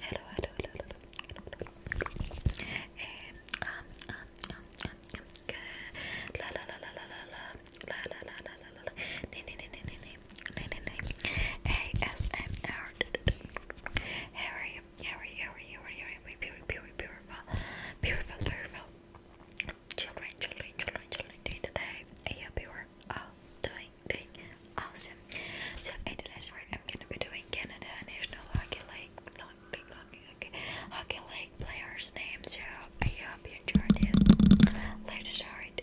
hello, hello, hello, hello, And, um, um, um, um, um, good. La la la la la la la la la la la la la. Nee, nee, nee, nee, nee, nee, nee, nee. ASMR. How are you? How are you? How are you? How are you? How are you? Beautiful, beautiful, beautiful, beautiful, beautiful. Children, children, children, children, day to day. I hope you are all oh, doing, doing Awesome. So in the next I'm gonna be doing Canada National Hockey League, not League Hockey, Hockey players' names. So I hope you enjoyed this. Let's start.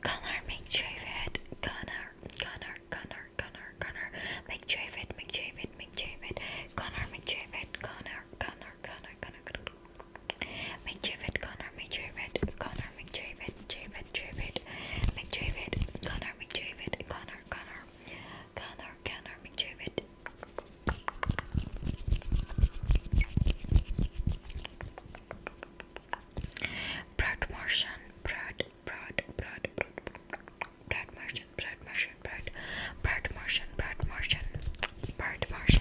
Connor McDavid, Connor, Connor, Connor, Connor, Connor, McDavid, McDavid, McDavid, Connor McDavid, Connor, Connor, Connor, Connor, McDavid, Connor McDavid, Connor McDavid, David, David, McDavid, Connor McDavid, Connor, Connor, Connor, Connor McDavid. Brad Martian, Brad, Brad, Brad, Brad Martian, Brad Martian, Brad, Brad Martian, Brad Martian, Brad Martian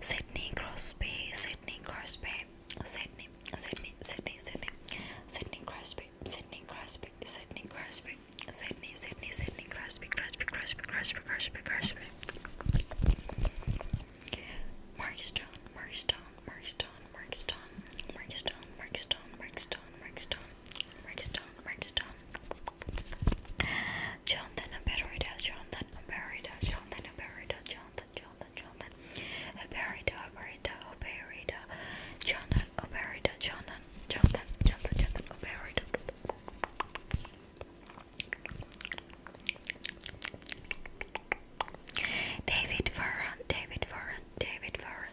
Sydney Crosby, Sydney Crosby, Sydney, Sydney, Sydney, Sydney, Sydney Crosby, Sydney Crosby, Sydney Crosby, Sydney, Sydney, Sydney Crosby, Crosby, Crosby, Crosby, Crosby, Crosby. Mark Stone, Mark Stone, Mark Stone, Mark Stone, Mark Stone, Mark Stone, Mark Stone, Mark Stone, Redstone, Redstone. Jonathan, a barida, Jonathan, a barida, Jonathan, a barida, Jonathan, Jonathan, Jonathan, a barida, a barida, a barida, Jonathan, a barida, Jonathan, Jonathan, Jonathan, Jonathan, David Farron, David Farron, David Farron.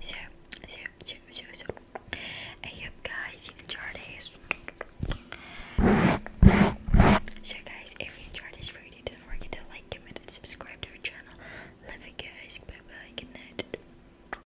so, so, so, so, so. I hope guys you enjoyed this. So guys, if you enjoyed this video, don't forget to like, comment, and subscribe to our channel. Love you guys. Bye bye. Good night.